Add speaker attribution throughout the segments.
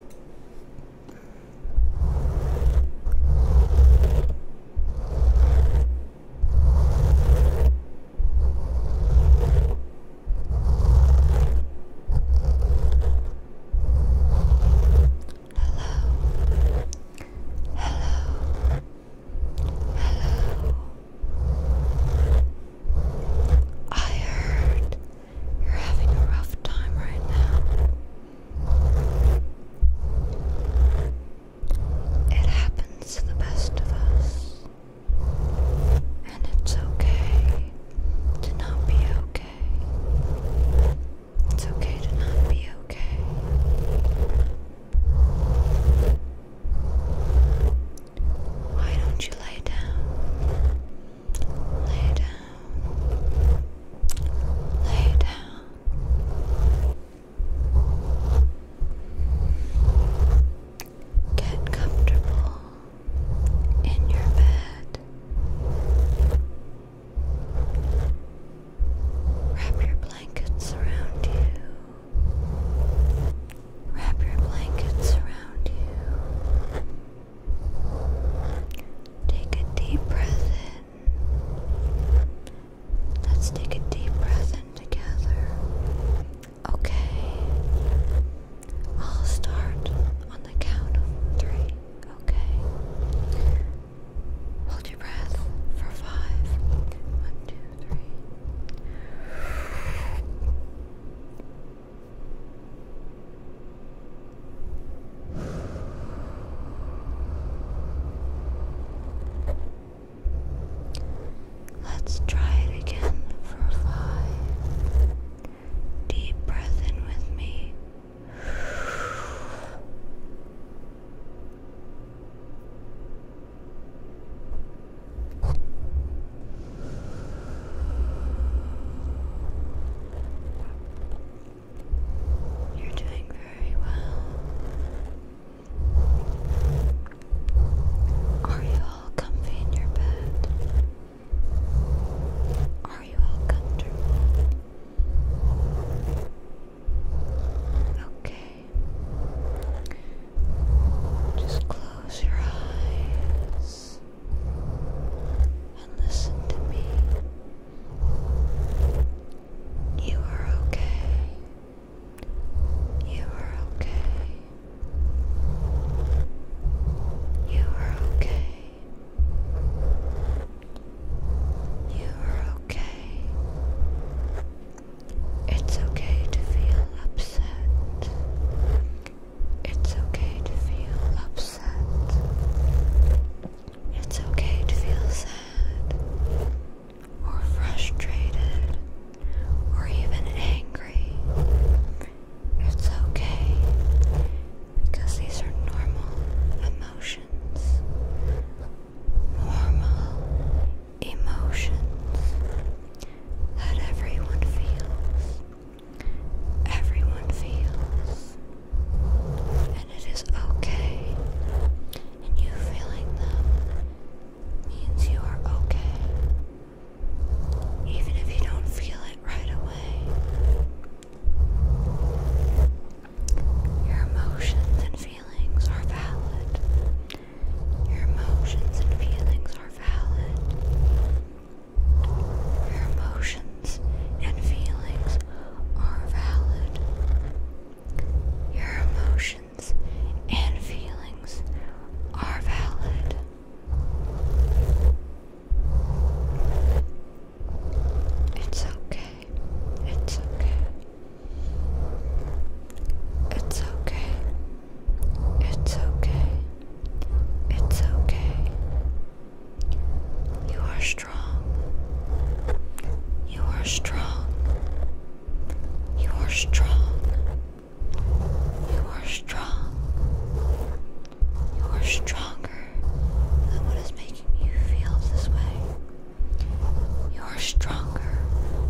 Speaker 1: Hello. Hello. Hello. I heard you're having a rough time right now. It happens to the best of us. And it's okay to not be okay. It's okay to not be okay. Why don't you lay down? Lay down. Lay down. Get comfortable in your bed. Wrap your blankets around you. Wrap your blankets around you. Take a deep breath in. Let's take a deep breath in together. Okay. I'll start on the count of three. Okay. Hold your breath for five. One, two, three. Let's try it again for five. Deep breath in with me. You're doing very well. Are you all comfy in your bed? Are you all comfortable? Okay. Just close your eyes and listen to me. You are okay. You are okay. You are okay. You are okay. It's okay to feel upset. It's okay to feel upset. It's okay to feel sad or frustrated or even angry. It's okay because these are normal emotions. Normal emotions that everyone feels. Everyone feels. And it is okay. And you feeling them means you are okay. Even if you don't feel it right away. Your emotions and feelings are valid. Your emotions and feelings are valid. Your emotions and feelings are valid. Your emotions and feelings are valid. It's okay. It's okay. It's okay. It's okay. It's okay. You are strong. You are strong. You are strong. You are strong. You are stronger than what is making you feel this way. You're stronger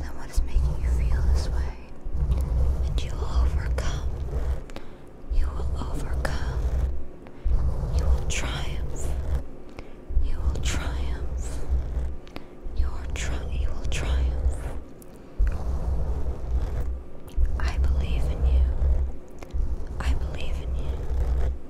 Speaker 1: than what is making you feel this way, and you will overcome. You will overcome. You will triumph. You will triumph. You will, tri you will triumph. I believe in you. I believe in you.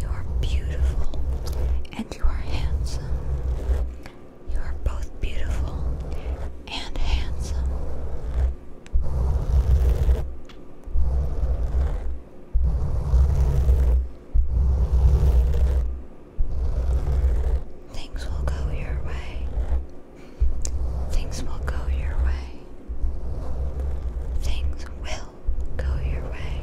Speaker 1: You are beautiful and you are handsome. You are both beautiful and handsome. Things will go your way. Things will go your way. Things will go your way.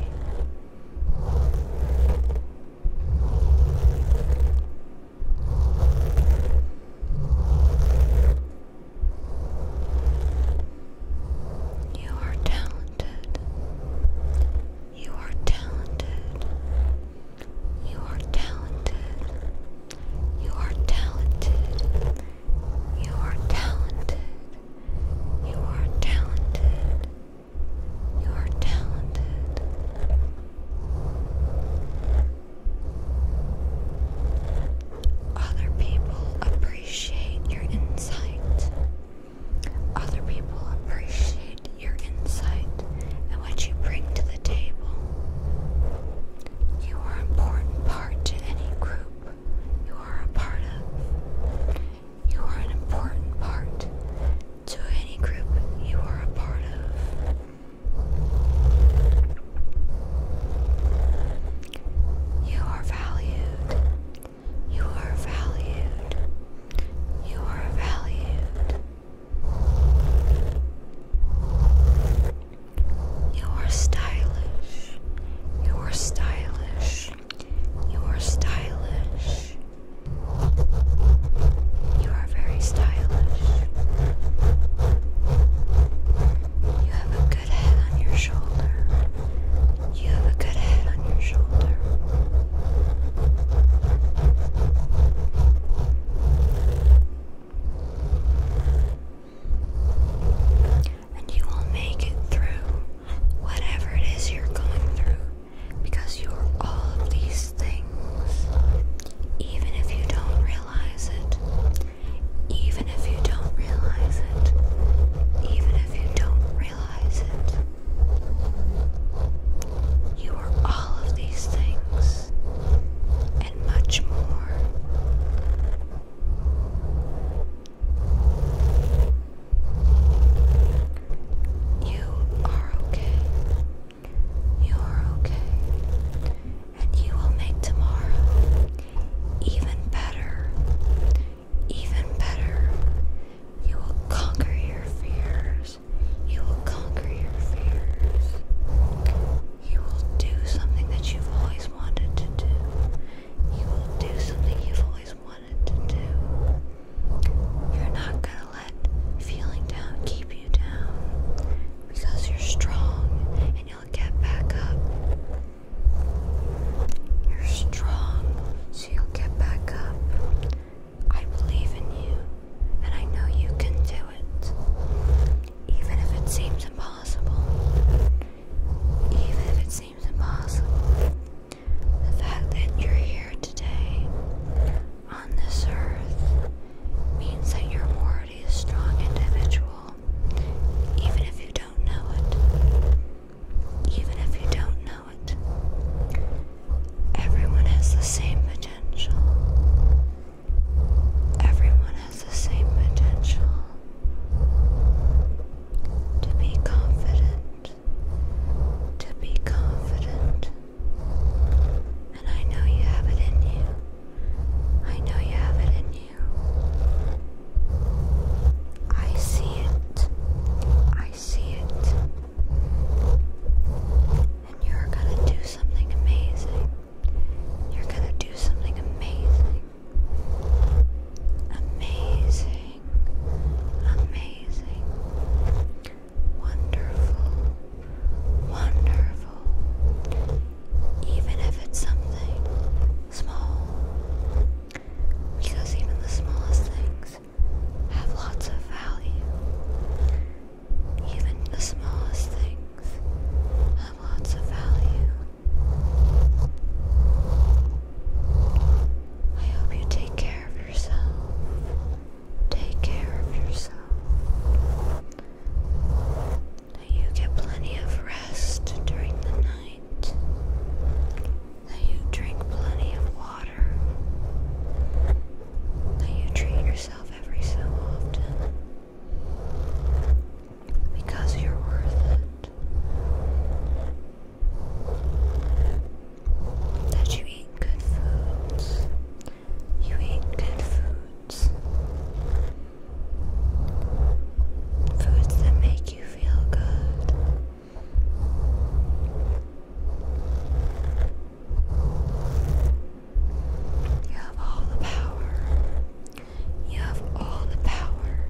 Speaker 1: You are talented. You are talented. You are talented. You are talented. You are talented. You are talented. You are talented. Other people appreciate your insight. Other people appreciate your insight and what you bring to the table. You are an important part to any group you are a part of. You are an important part to any group you are a part of. You are valued. You are valued. You are valued. You are stylish. You are stylish. You are stylish. You are very stylish. You have a good head on your shoulder. You have a good head on your shoulder and you will make it through whatever it is you're going through because you are all of these things, even if you don't realize it, even if you don't realize it, even if you don't realize it. You are all of these things and much more. You are okay. You are okay. And you will make tomorrow even better. Even better. You will conquer your fears. You will conquer your fears. You will do something that you've always wanted to do. You will do something you've always wanted to do. You're not gonna let feeling down keep you down because you're strong and you'll get back up. You're strong, so you'll get back up. I believe in you and I know you can do it. Even if it seems impossible, even if it seems impossible, the fact that you're here today on this earth means that you're already a strong individual, even if you don't know it. Even if you don't know it, everyone has the same potential. Everyone has the same potential to be confident, to be confident. And I know you have it in you. I know you have it in you. I see it. I see it. And you're gonna do something amazing. You're gonna do something amazing. Amazing. Amazing. Wonderful. Wonderful. Even if it's something small. Because even the smallest things have lots of value. Even the smallest things have lots of value. I hope you take care of yourself. Take care of yourself. That you get plenty of rest during the night. That you drink plenty of water. That you treat yourself yourself every so often because you're worth it. That you eat good foods. You eat good foods. Foods that make you feel good. You have all the power. You have all the power.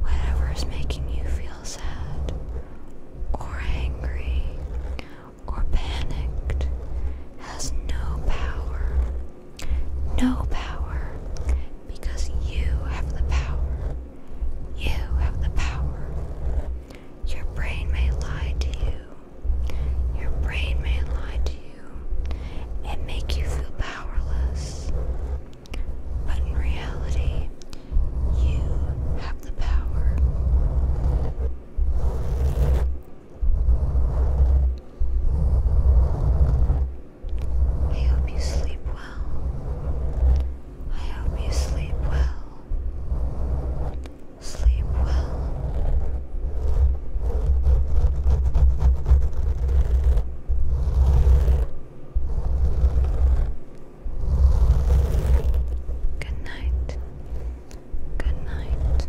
Speaker 1: Whatever is making you feel sad, or angry, or panicked has no power. No power. Because you have the power. You have the power. Your brain may lie to you. Your brain may lie to you and make you feel powerless. But in reality, you have the power. I hope you sleep well. I hope you sleep well. Sleep well. Good night. Good night.